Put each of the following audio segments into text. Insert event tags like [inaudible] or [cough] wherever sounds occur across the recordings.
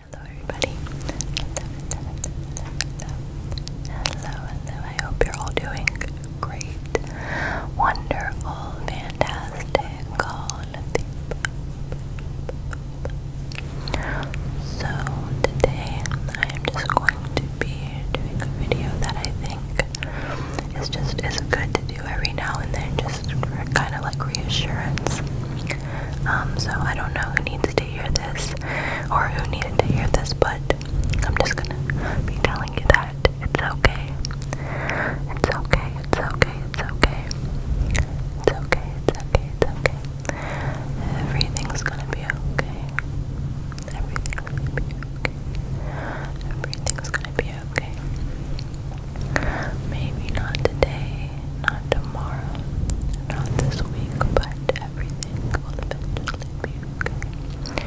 Hello everybody. Hello, hello, I hope you're all doing great. Wonderful, fantastic, So today I am just going to be doing a video that I think is just is good to do every now and then just for kind of like reassurance. Um, so I don't know who needs to hear this or who needed to hear this, but I'm just gonna be telling you that it's okay. It's okay, it's okay, it's okay. It's okay, it's okay, it's okay. Everything's gonna be okay. Everything's gonna be okay. Everything's gonna be okay. Maybe not today, not tomorrow, not this week, but everything will eventually be okay.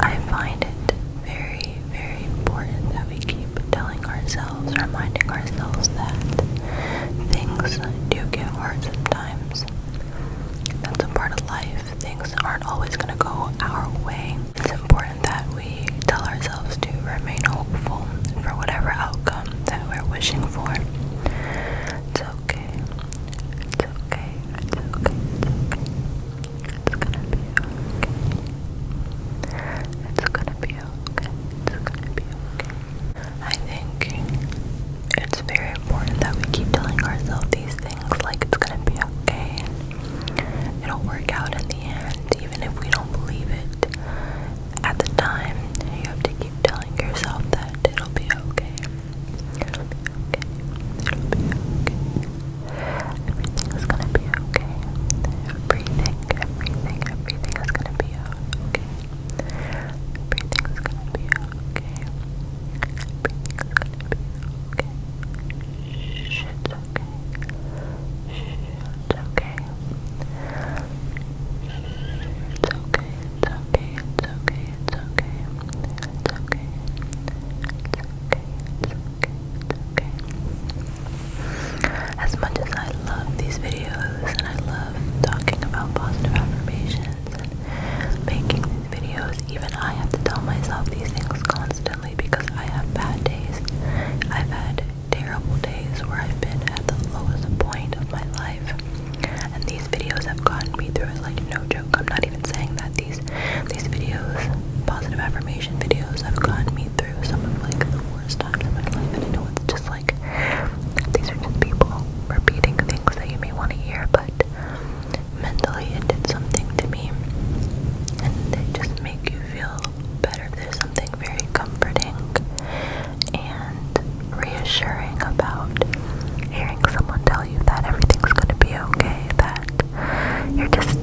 I find it very, very important that we keep telling ourselves, reminding ourselves that things do get hard sometimes. That's a part of life. Things aren't always going to go our way. It's important that we tell ourselves ourselves to remain hopeful for whatever outcome that we're wishing for. It's okay. It's okay. It's okay. It's okay. It's gonna be okay. It's gonna be okay. It's gonna be okay. I think it's very important that we keep telling ourselves these things like it's gonna be okay. It'll work out in the end, even if we don't believe it. At the time, you have to keep telling yourself that it'll be okay. It'll be okay. It'll be okay. Everything's gonna be okay. Everything, everything, everything is gonna be okay. Everything's gonna be okay. Everything's gonna be okay. Shit's okay. Shit's okay. It's okay, it's okay, it's okay, it's okay. It's okay. It's okay, it's okay, it's okay. As much as I love these videos and I love talking about positive affirmations and making these videos, even I have to tell myself these things constantly because I have bad days. I've had terrible days where I've been at the lowest point of my life. And these videos have gotten me through it like no joke. I'm not even saying that these these videos, positive affirmation videos, have gotten me through some of like the worst times in my life. And I know it's just like these are just people repeating things that you may want to hear, but mentally it did something to me. And they just make you feel better. There's something very comforting and reassuring about hearing someone tell you that everything's going to be okay, that you're just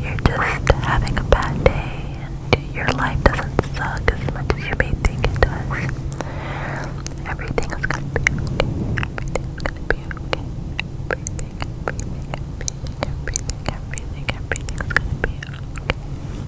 you're just having a bad day and your life doesn't suck as much as you may think it does. Everything is gonna be okay. Everything's gonna be okay. everything, everything, everything, everything, everything's gonna be okay.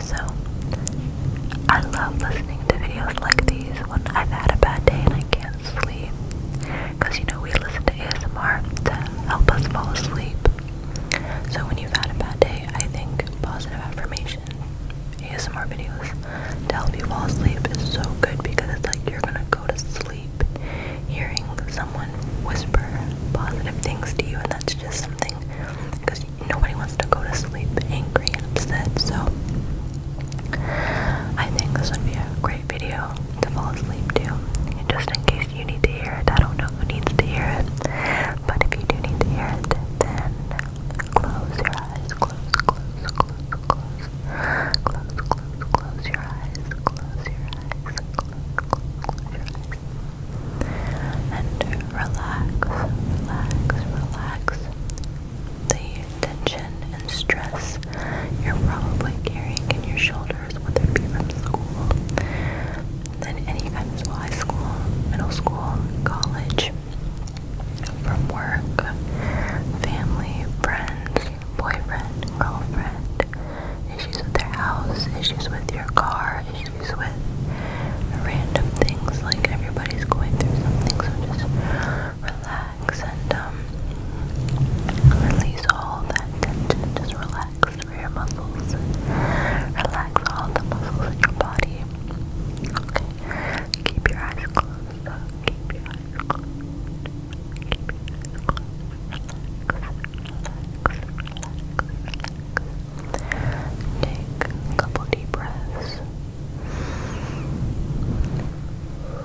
So, I love listening to videos like these when I've had a bad day and I can't sleep. Because, you know, we listen to ASMR to help us fall asleep. So, when you've had a bad day, I think positive affirmation ASMR videos to help you fall asleep is so good because it's like you're gonna go to sleep hearing someone whisper positive things to you, and that's just something nobody wants to go to sleep angry and upset, so I think this would be a great video to fall asleep to. just in case you need to hear it, I don't know who needs to hear it, but if you do need to hear it, then close your eyes, close, close, close, close, close, close, close your eyes, close your eyes, close, close, close your eyes and relax, relax, relax the tension and stress you're probably carrying in your shoulders, whether it be from school, then any kind of high school, middle school, college, from work, family, friends, boyfriend, girlfriend, issues with their house, issues with your car, issues with random things like everybody's going through something so just relax and um release all that tension just relax for your muscles relax all the muscles in your body okay keep your eyes closed keep your eyes closed Keep your eyes closed. Take a couple deep breaths. Relax, relax,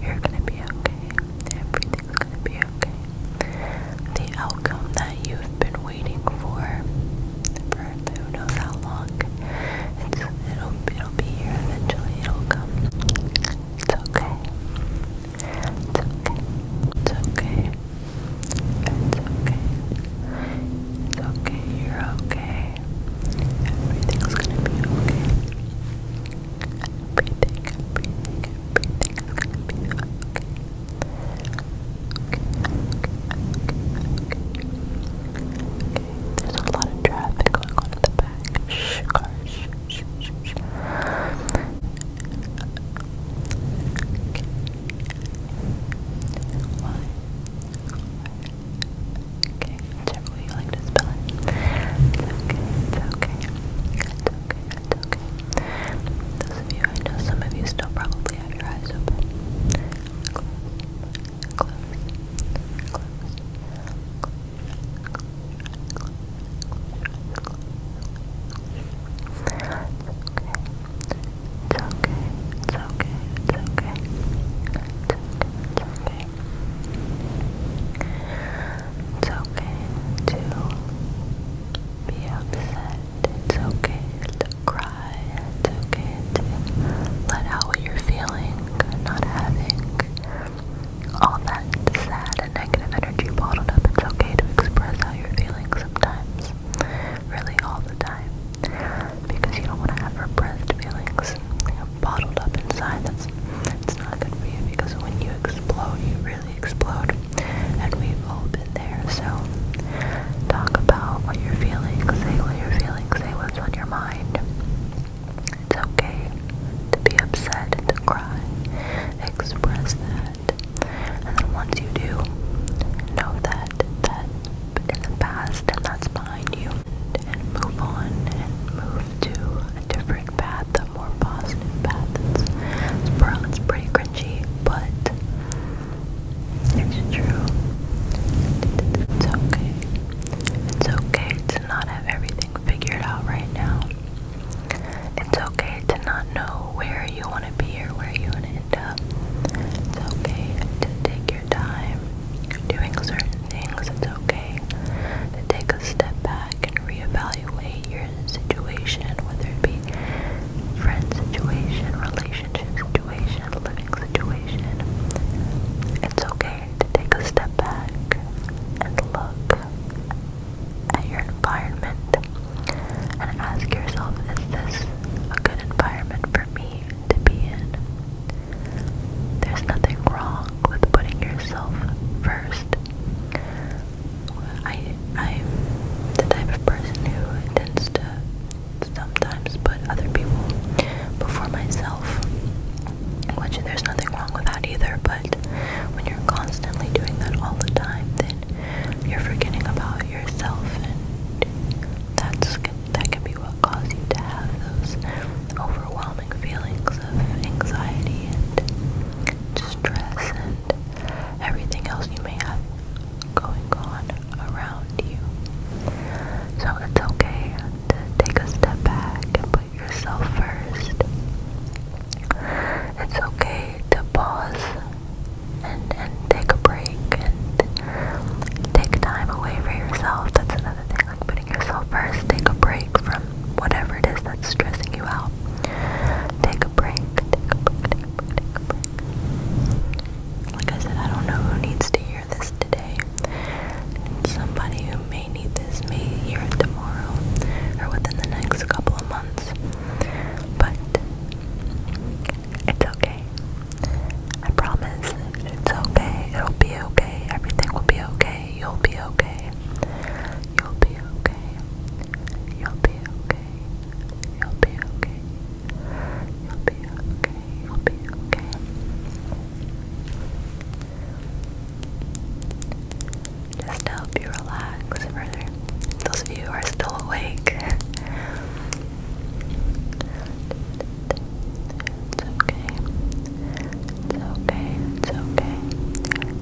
You're gonna be okay. Everything's gonna be okay. The outcome that you've been waiting for for who knows how long. It's, it'll, it'll be here eventually. It'll come. It's okay. It's okay. It's okay. It's okay. It's okay. You're okay. Everything's gonna be okay. Everything, everything, everything is gonna be okay. Okay, okay, okay, okay. Okay, there's a lot of traffic going on in the back. Shh, cars, shh, shh, shh, shh. Okay. Why? Okay, turn it's okay, it's okay. It's okay, it's okay. Those of you, I know some of you still probably have your eyes open. It's okay. It's okay. It's okay. It's okay. It's okay. It's okay to be upset. It's okay to cry. It's okay to let out what you're feeling, not having all that sad and negative energy bottled up. It's okay to express how you're feeling sometimes. Really all the time. Because you don't want to have repressed feelings bottled up inside that it's not good for you because when you explode, you really explode, and we've all been there. So talk about what you're feeling, say what you're feeling, say what's on your mind. It's okay to be upset and to cry. Express that, and then once you do, know that that in the past and that's behind you, and, move on and move to a different path more positive path. It's, pretty cringy, but it's true. It's okay. It's okay to not have everything figured out right now. It's okay to not know where you want to be or where you want to end up. It's okay to take your time doing certain things. It's okay to take a step back and reevaluate evaluate your situation, whether it be friend situation, relationship situation, living situation. It's okay to take a step back and look at your environment and ask yourself, is this a good environment for me to be in? There's nothing wrong with putting yourself first. I, I'm the type of person who tends to sometimes put other people before myself, which there's nothing wrong with that either, but when you're constantly doing that all the time, then you're forgetting about yourself, and that's, that can be what causes you to have those overwhelming feelings of anxiety and stress, and everything else you may have going on around you. So it's okay to take a step back and put yourself first. It's okay to pause and and take a break and take time away for yourself. That's another thing, like putting yourself first. Take a break from whatever it is that's stressing you out. Take a break. Take a break. Take a break. Like I said, I don't know who needs to hear this today. Somebody who may need this may hear it tomorrow or within the next couple of months. But it's okay. I promise it's okay. It'll be okay. Everything will be okay. You'll be okay. You'll be okay okay. You'll be okay. You'll be okay. You'll be okay. You'll be okay. Just to help you relax further. Those of you who are still awake. [laughs] it's okay. It's okay, it's okay.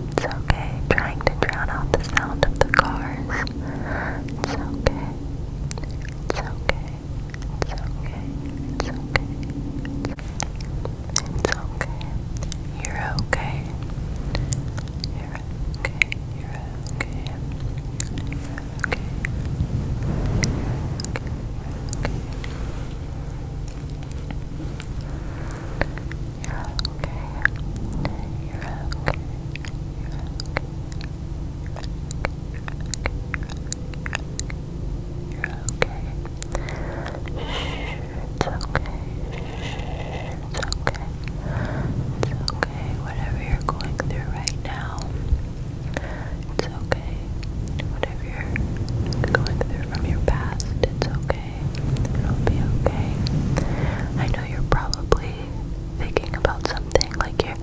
It's okay trying to drown out the sound of the cars. It's okay. It's okay. It's okay. It's okay. It's okay. You're okay. You're okay. You're okay. You're okay. You're okay. You're okay. You're okay. you okay. you okay. You're okay. It's okay. It's okay. It's okay. Whatever you're going through right now, it's okay. Whatever you're going through from your past, it's okay. It'll be okay. I know you're probably thinking about something like you're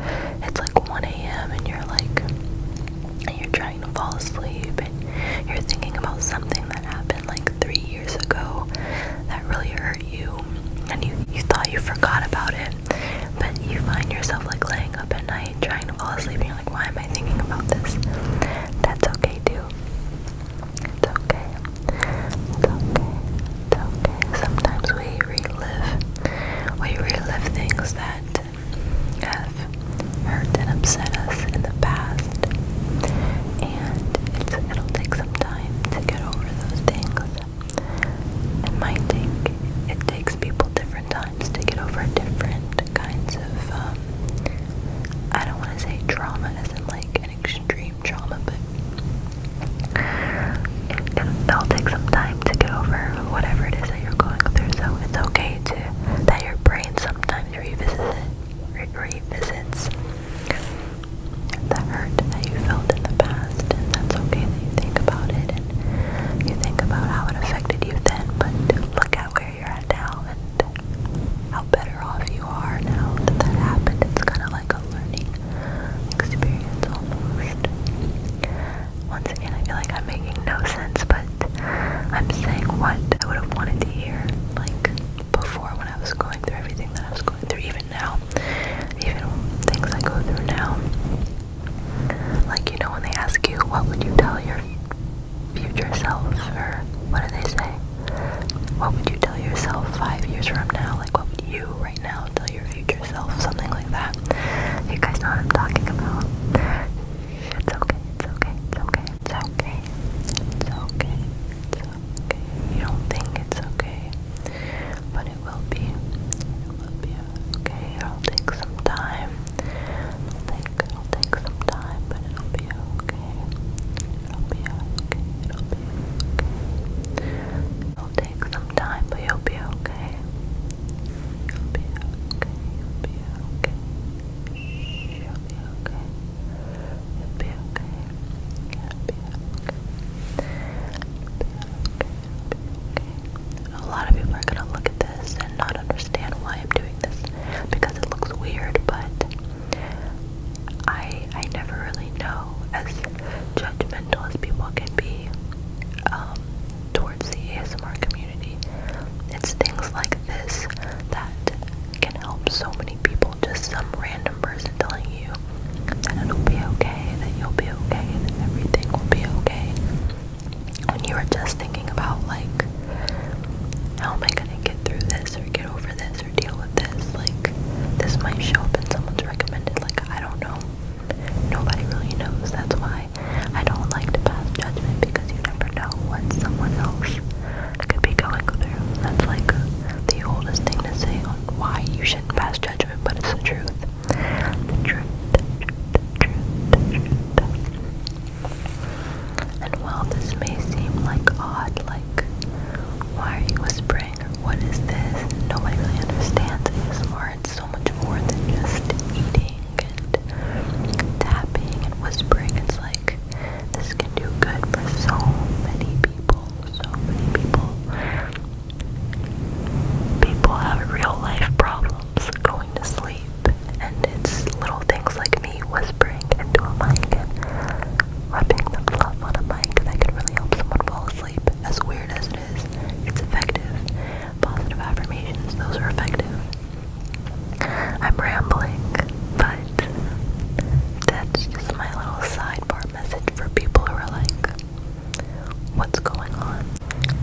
it's like 1 a.m. and you're like and you're trying to fall asleep and you're thinking about something that happened like three years ago that really hurt you and you, you thought you forgot about it but you find yourself like laying up at night trying to fall asleep and you're like why am I thinking about this? That's okay too. It's okay. It's okay. It's okay. Sometimes we relive we relive things that have hurt and upset us in the past. And it'll take some time to get over those things. It might take it takes people different times to get over different kinds of um I don't want to say trauma as in like an extreme trauma, but it, will take some time to get over whatever it is that you're going through. So it's okay to that your brain sometimes revisits it, revisits the hurt that you felt in the past, and that's okay that you think about it and you think about how it affected you then. But look at where you're at now and how better off you are now that that happened. It's kind of like a learning experience almost. Once again, I feel like I'm making no sense, but I'm saying what I would have wanted to hear, like before when I was going through everything that I was going through, even now, even things I go through now. Like, you know, when they ask you, what would you tell your future self or what do they say? What would you tell yourself five years from now? Like what would you right now tell your future self? Something like that. You guys know what I'm talking about. It's okay, it's okay, it's okay, it's okay. It's okay. It's okay. You don't think it's okay. But it will be. It will be okay. It'll take some time. It'll take it'll take some time, but it'll be okay. It'll be okay. It'll be okay. It'll take some time, will be okay. You'll You'll be okay. you'll be okay. You'll be okay. You'll be okay. You'll be okay. You'll be okay. A lot of people are gonna look at this and not understand why I'm doing this because it looks weird, but I I never really know as judgmental as people can be um, towards the ASMR community. It's things like this that can help so many people. Just some random person telling you that it'll be okay, that you'll be okay, that everything will be okay. When you are just thinking about like, how am I gonna get through this or get over this? or deal with this. Like, this might show up in someone's recommended. Like, I don't know. Nobody really knows. That's why I don't like to pass judgment because you never know what someone else could be going through. That's like the oldest thing to say on why you shouldn't pass judgment, but it's the truth. The truth. The truth. The truth. And while this may seem like odd, like, why are you whispering? What is this? Nobody really understands ASMR. It's so much more than just eating and tapping and whispering. It's like this can do good for so many people. So many people. People have real life problems going to sleep. And it's little things like me whispering into a mic and Rubbing the fluff on a mic that can really help someone fall asleep, as weird as it is, it's effective. Positive affirmations, those are effective. I'm rambling, but that's just my little side bar message for people who are like, what's going on?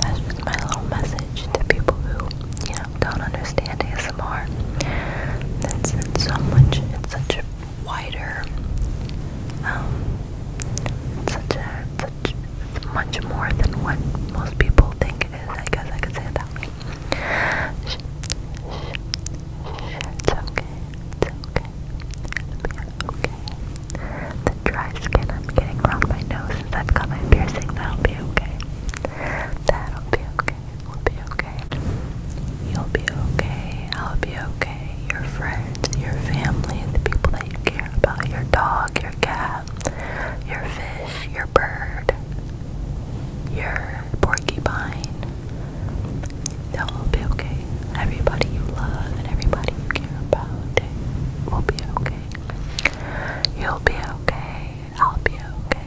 That's just my little message to people who, you know, don't understand ASMR. It's, so much, it's such a wider. Um, such a, such, much more than what most people think it is. I guess I can say it that way. Shh, shh, okay. okay. okay. The dry skin I'm getting around my nose since I've got my piercing, that'll be okay. That'll be okay will be okay. You'll be okay. I'll be okay. Your friends, your family, the people that you care about, your dog, your cat, your fish, your bird, your porcupine. They'll all be okay. Everybody you love and everybody you care about will be okay. You'll be okay. I'll be okay.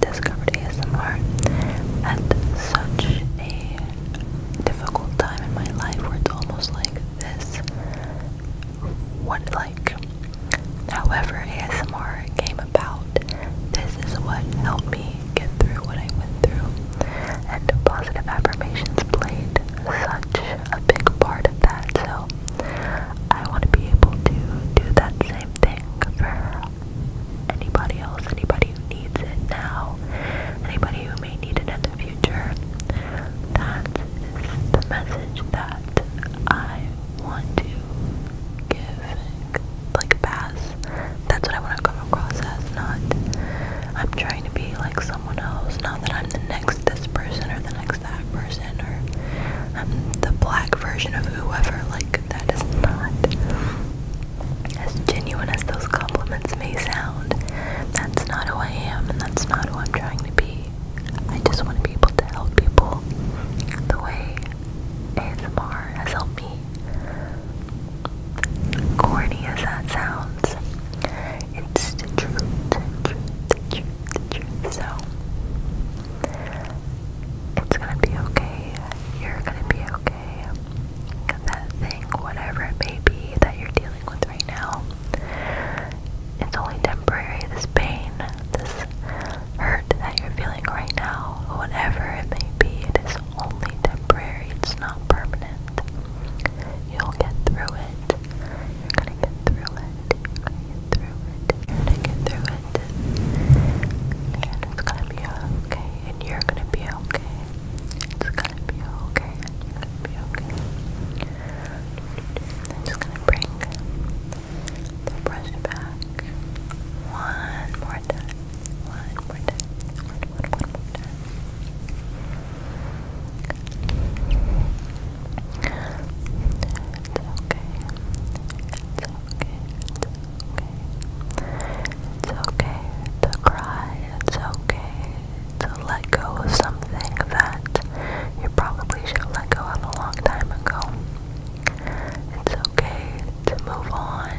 discovered ASMR at such a difficult time in my life where it's almost like this what like however ASMR came about this is what helped me get through what I went through and positive affirmations played such a big part of that so I want to be able to do that same thing for anybody else, anybody who needs it now, anybody who may need it in the future. That is the message that I want to give, like pass. That's what I want to come across as, not I'm trying to be like someone else, not that I'm the next this person or the next that person or um, the black version of whoever. Like, that is not as genuine as those compliments may sound. That's not who I am, and that's not who I'm trying to be. I just want to be able to help people the way ASMR has helped me. Corny as that sounds, it's the truth. So, it's gonna be okay you're gonna be okay. that thing, whatever it may be that you're dealing with right now, it's only temporary. This pain, this hurt that you're feeling right now, whatever it may be, it is only temporary. It's not permanent. You'll get through it. You're gonna get through it. You're gonna get through it. You're gonna get through it. And it's gonna be okay, and you're gonna be okay. It's gonna be okay, and you're gonna be okay. I'm just gonna bring the brush back one more time. One more time. One, one, one more time. It's okay. It's okay. It's okay. It's okay to cry. It's okay to let go of something that you probably should have let go of a long time ago. It's okay to move on.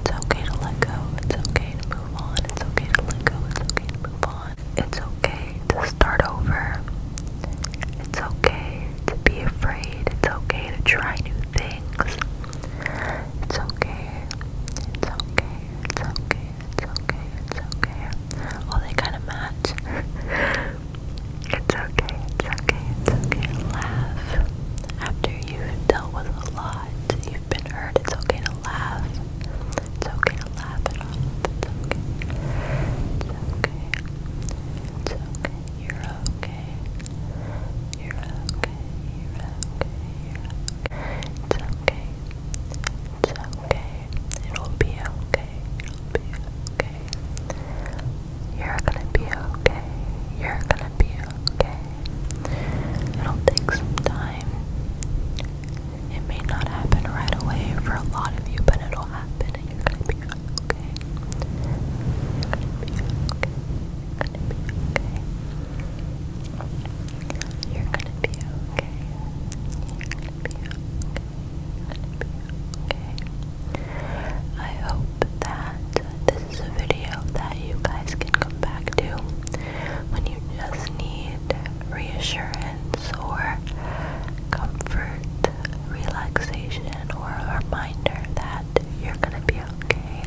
It's okay to let go. It's okay to move on. It's okay to let go. It's okay to move on. It's okay to start over. It's okay to be afraid. It's okay to try new things. It's okay. It's okay. It's okay. It's okay. It's okay. Well, they kind of match. it's okay. It's okay. It's okay. Laugh. After you've dealt with a lot, you've been hurt. It's okay to laugh. It's okay to laugh it off. It's okay. It's okay. It's okay. You're okay. You're okay. You're okay. You're okay. It's okay. It's okay. It'll be okay. It'll be okay. You're gonna be okay. You're gonna be okay. It'll take some time. It may not happen right away for a lot of you, but it'll happen you're gonna be okay. You're gonna be okay. You're gonna be okay. You're gonna be okay. I hope that this is a video that you guys can come back to when you just need reassurance or comfort, relaxation, or a reminder that you're gonna be okay,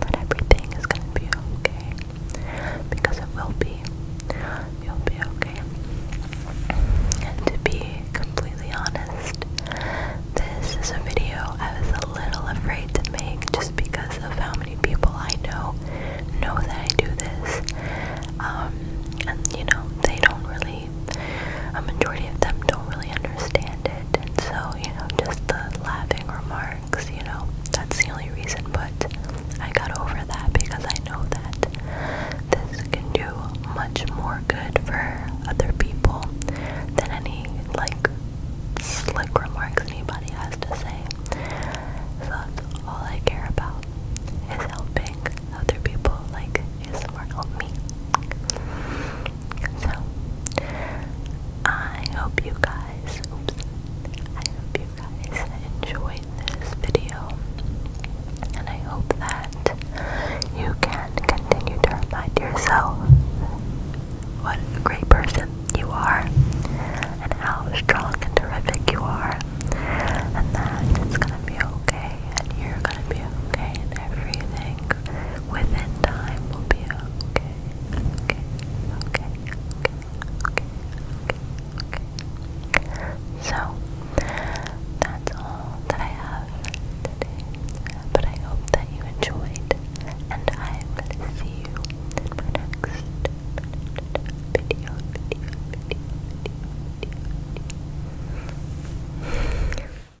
that everything is gonna be okay, because it will be. You'll be okay. And to be completely honest, this is a video I was a little afraid to make just because of how many people I know know that I do this. Um, and you know, they don't really really, a majority of them don't really understand it. And so, you know, just the laughing remarks, you know, that's the only reason. But I got over that because I know that this can do much more good for other people than any, like, slick remarks anybody has to say. So that's all I care about is helping other people like ASMR help me. So, I hope you guys, I hope you guys enjoyed this video. And I hope that you can continue to remind yourself what a great person you are and how strong and terrific you are and that it's gonna be okay and you're gonna be okay and everything within time we will be okay. Okay, okay, okay, okay, okay, okay. So that's all that I have today. But I hope that you enjoyed and I will see you in my next video.